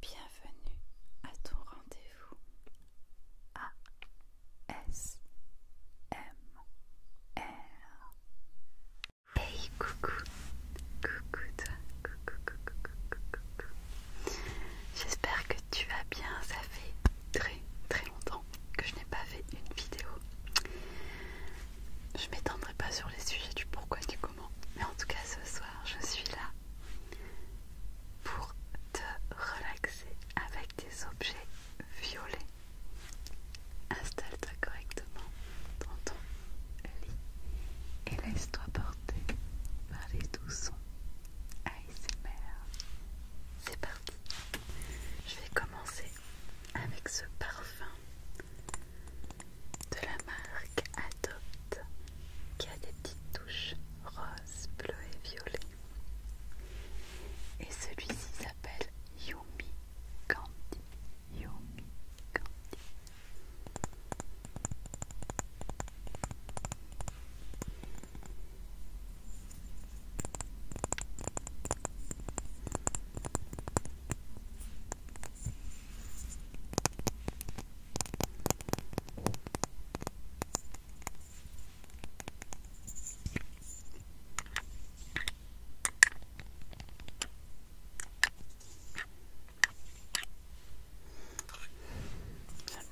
Bienvenue à ton rendez-vous ASMR. Hey coucou, coucou toi, coucou, coucou, coucou, coucou. J'espère que tu vas bien, ça fait très très longtemps que je n'ai pas fait une vidéo. Je m'étendrai pas sur les sujets du pourquoi du coup mais en tout cas, ce soir, je suis là pour te relaxer avec des objets violets. Installe-toi correctement dans ton lit et laisse-toi porter par les doux sons ASMR. C'est parti. Je vais commencer avec ce parfum de la marque Adopt qui a des petites touches roses, bleu et violet. Et celui-ci s'appelle Yumi Candy. Yumi Candy. J'aime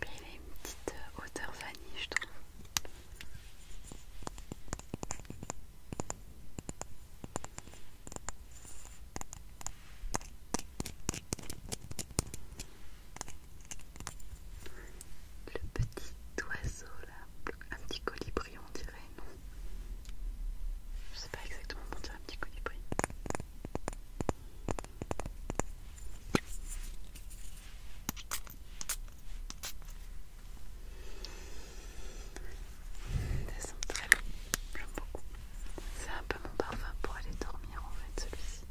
bien, il a une petite euh, odeur vanille, je trouve. Le petit oiseau là, un petit colibri on dirait, non Je sais pas exactement comment dire un petit colibri. Ça sent très bon, j'aime beaucoup. C'est un peu mon parfum pour aller dormir en fait celui-ci.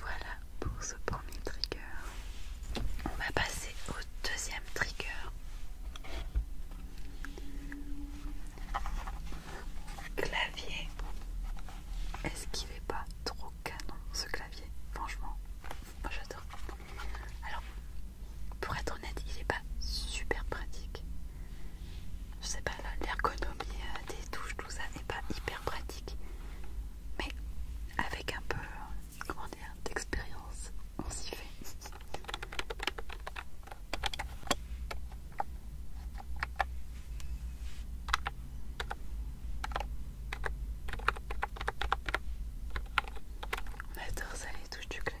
Voilà, pour ce premier trigger. On va passer au deuxième trigger. Clavier. Est-ce qu'il est pas trop canon ce clavier Franchement, moi j'adore. Alors, pour être honnête, il n'est pas super pratique. Je sais pas, l'ergonomie euh, des touches, tout ça n'est pas hyper pratique. Mais avec un peu comment dire, d'expérience. On s'y fait. On adore ça les touches du clavier.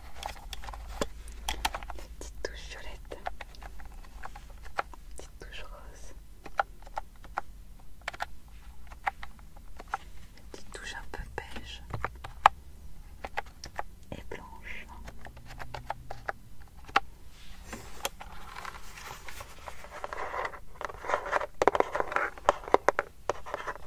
Petite touche violette, petite touche rose, petite touche un peu beige et blanche.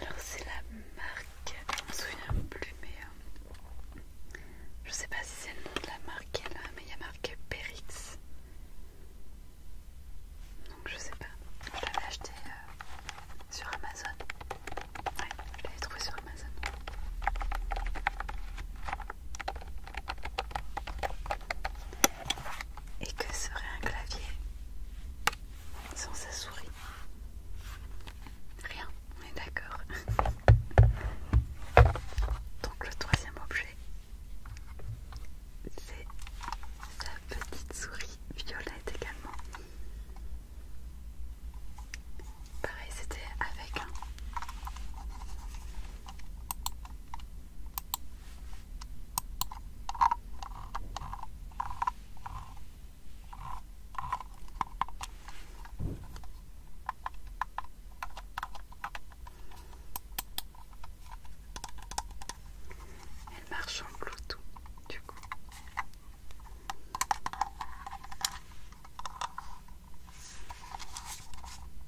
Alors c'est la marque, je me souviens plus mais euh, je sais pas si c'est le nom de la marque qui mais il y a marque Perix. Donc je sais pas, je l'avais acheté euh, sur Amazon. Ouais, je l'avais trouvé sur Amazon. Et que serait un clavier sans sa souris Rien, on est d'accord. Donc le troisième objet, c'est sa petite souris violette également. Pareil, c'était avec un elle marche en Bluetooth, du coup.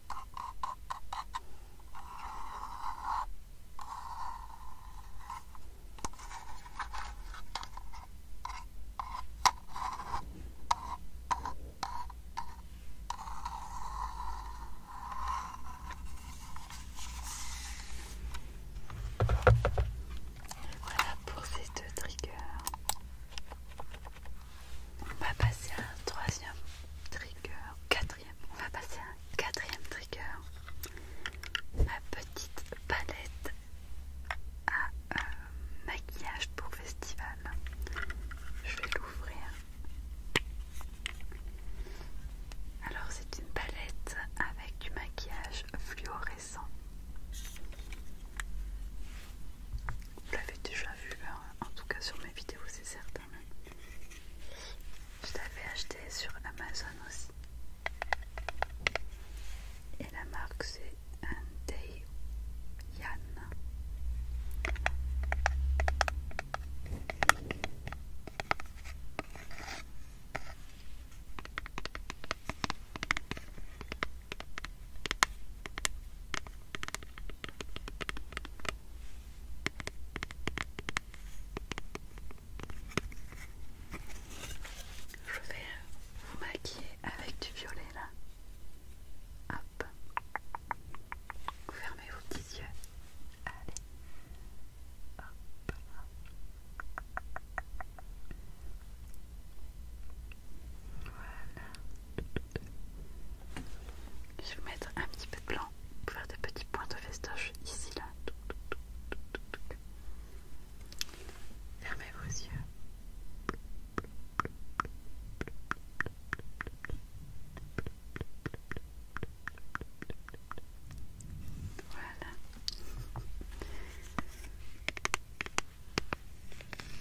Voilà pour ces deux triggers. On va passer à un troisième trigger, on va passer à un quatrième trigger. Ma petite palette à euh, maquillage pour festival. Je vais l'ouvrir. Alors c'est une palette avec du maquillage fluorescent. Vous l'avez déjà vu, hein. en tout cas sur mes vidéos, c'est certain. Je l'avais acheté sur Amazon aussi. Et la marque c'est un Yan. Je vais vous maquiller avec du violet là. Hop. Vous fermez vos petits yeux. Allez. Hop. Voilà. Je vais mettre un petit peu de blanc pour faire des petits points de festoche ici, là. Fermez vos yeux. Voilà.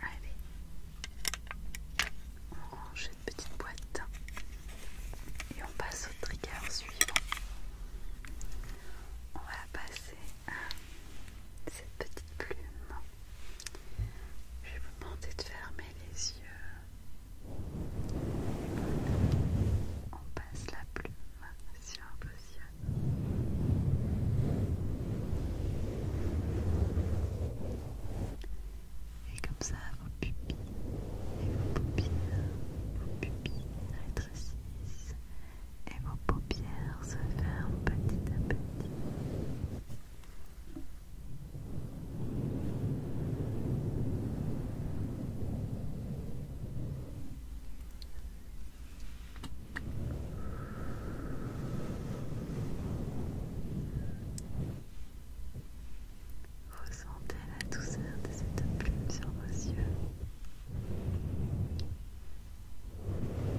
Allez, on range cette petite boîte et on passe au trigger suivant on va passer à cette petite plume. Je vais vous demander de fermer les yeux. On passe la plume sur un yeux Et comme ça, vos pupilles et vos pupilles, vos pupilles rétrécissent et vos paupières se ferment petit à petit sentez la douceur de cette plume sur vos yeux. Voilà,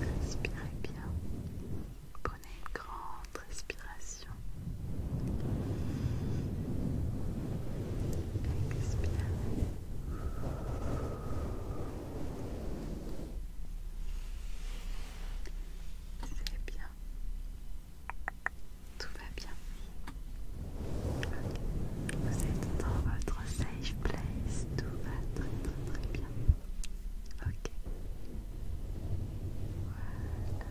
Respirez bien. Prenez une grande respiration. Expirez. C'est bien. Tout va bien. Vous êtes dans votre safe place. Tout va très très très bien. Ok. Voilà.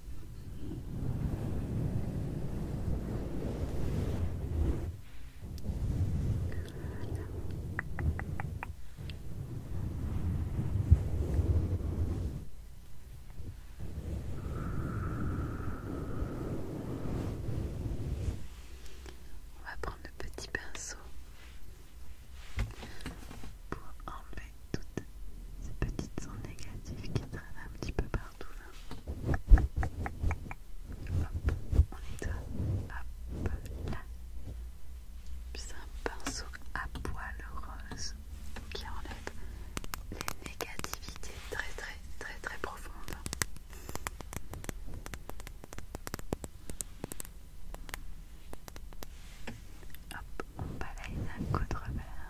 On va prendre le petit pinceau pour enlever toutes ces petites ondes négatives qui traînent un petit peu partout Hop, on nettoie. Hop là. C'est un pinceau à poils rose qui enlève les négativités très très très très profondes. Hop, on balaye d'un coup de revers.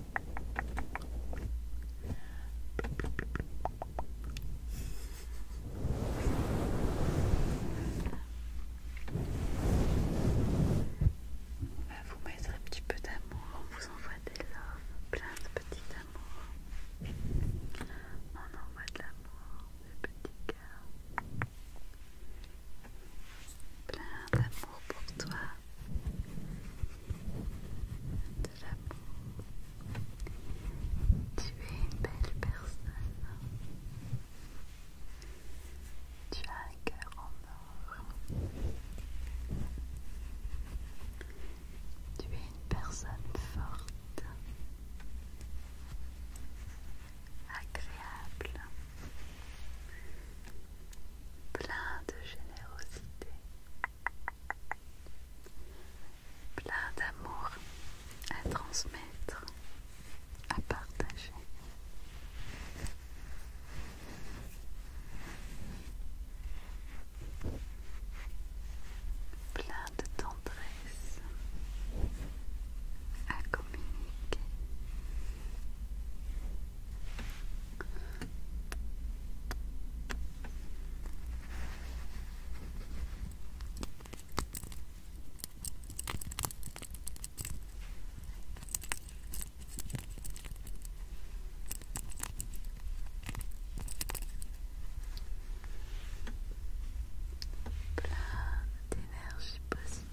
On bah, va vous mettre un petit peu d'amour, on vous envoie des loves, plein de petits amours. On envoie de l'amour, des petits cœurs. Plein d'amour pour toi. Tu es une belle personne. Tu as un cœur en or. Tu es une personne forte, agréable, plein de générosité, plein d'amour à transmettre, à partager. Plein de tendresse à communiquer, plein d'énergie positive.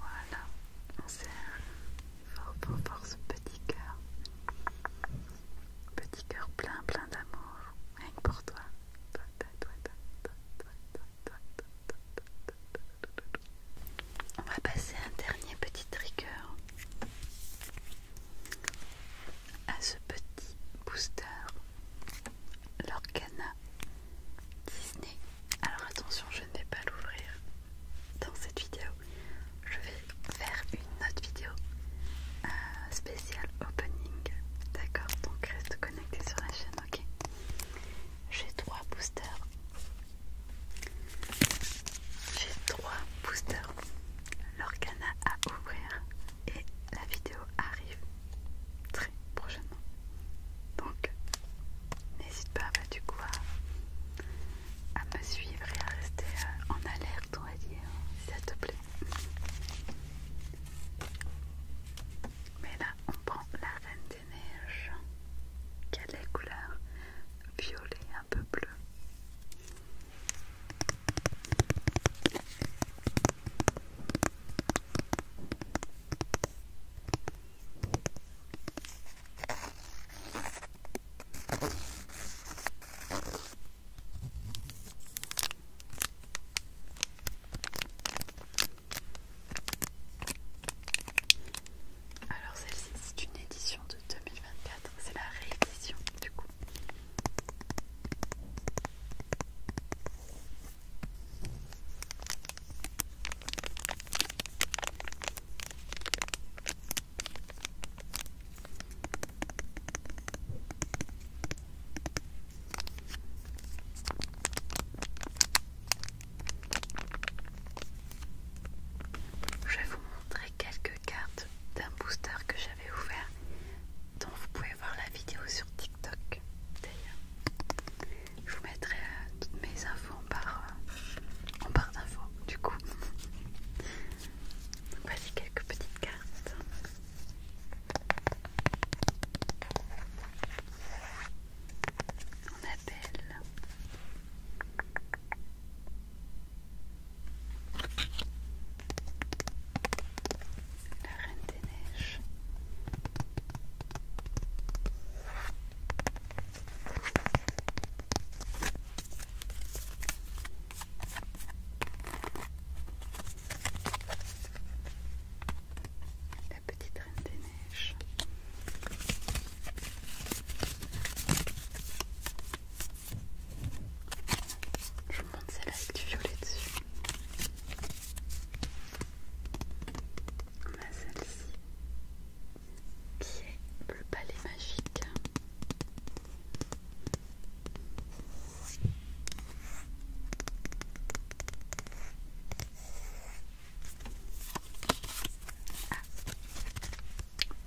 Voilà, on un fort, fort, ce petit cœur. Petit cœur plein, plein d'amour. Rien que pour toi. On va passer un dernier petit trigger à ce petit booster l'Organa Disney. Alors attention, je ne vais pas l'ouvrir dans cette vidéo. Je vais faire une autre vidéo euh, spéciale opening. D'accord Donc reste connecté sur la chaîne, ok J'ai trois boosters. J'ai trois boosters. L'Organa à ouvrir et la vidéo arrive très prochainement. Donc n'hésite pas bah, du coup à, me suivre et à rester euh, en alerte on va dire si ça te plaît. Mais là on prend la reine des neiges. Quelle est couleur violet un peu bleu. Alors celle-ci c'est une édition de 2024, c'est la réédition du coup. Je vais vous montrer quelques cartes d'un booster que j'avais ouvert donc vous pouvez voir la vidéo sur TikTok d'ailleurs. Je vous mettrai euh, toutes mes infos en barre, euh, en barre d'infos du coup. voici quelques petites cartes. On appelle la reine des neiges. La petite reine des neiges. Je vous montre celle avec du violet dessus. On a celle-ci qui est le palais magique. Ah.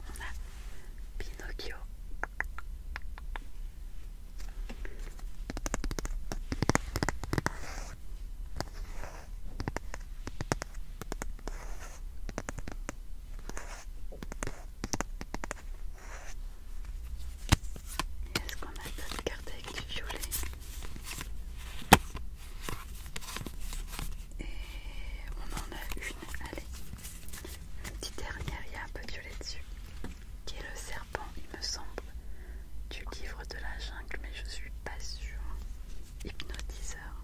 On a Pinocchio est-ce qu'on a d'autres cartes avec du violet Et on en a une, allez, une petite dernière, il y a un peu de violet dessus qui est le serpent, il me semble, du livre de la jungle, mais je suis pas sûre. Hypnotiseur.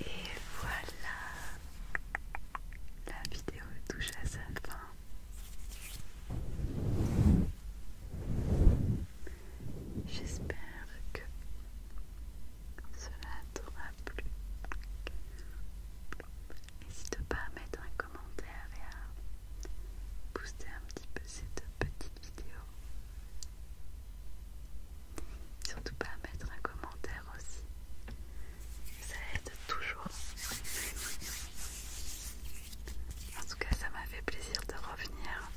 Et voilà, la vidéo touche à sa fin. J'espère que cela t'aura plu. N'hésite pas à mettre un commentaire et à booster un petit peu cette petite vidéo. Surtout pas à mettre un commentaire aussi ça aide toujours. En tout cas, ça m'a fait plaisir de revenir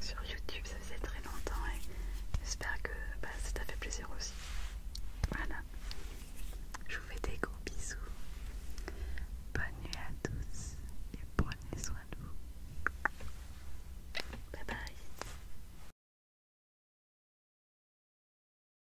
sur YouTube, ça faisait très longtemps et j'espère que bah, ça t'a fait plaisir aussi. Voilà, je vous fais des gros bisous. Bonne nuit à tous et prenez soin de vous. Bye bye.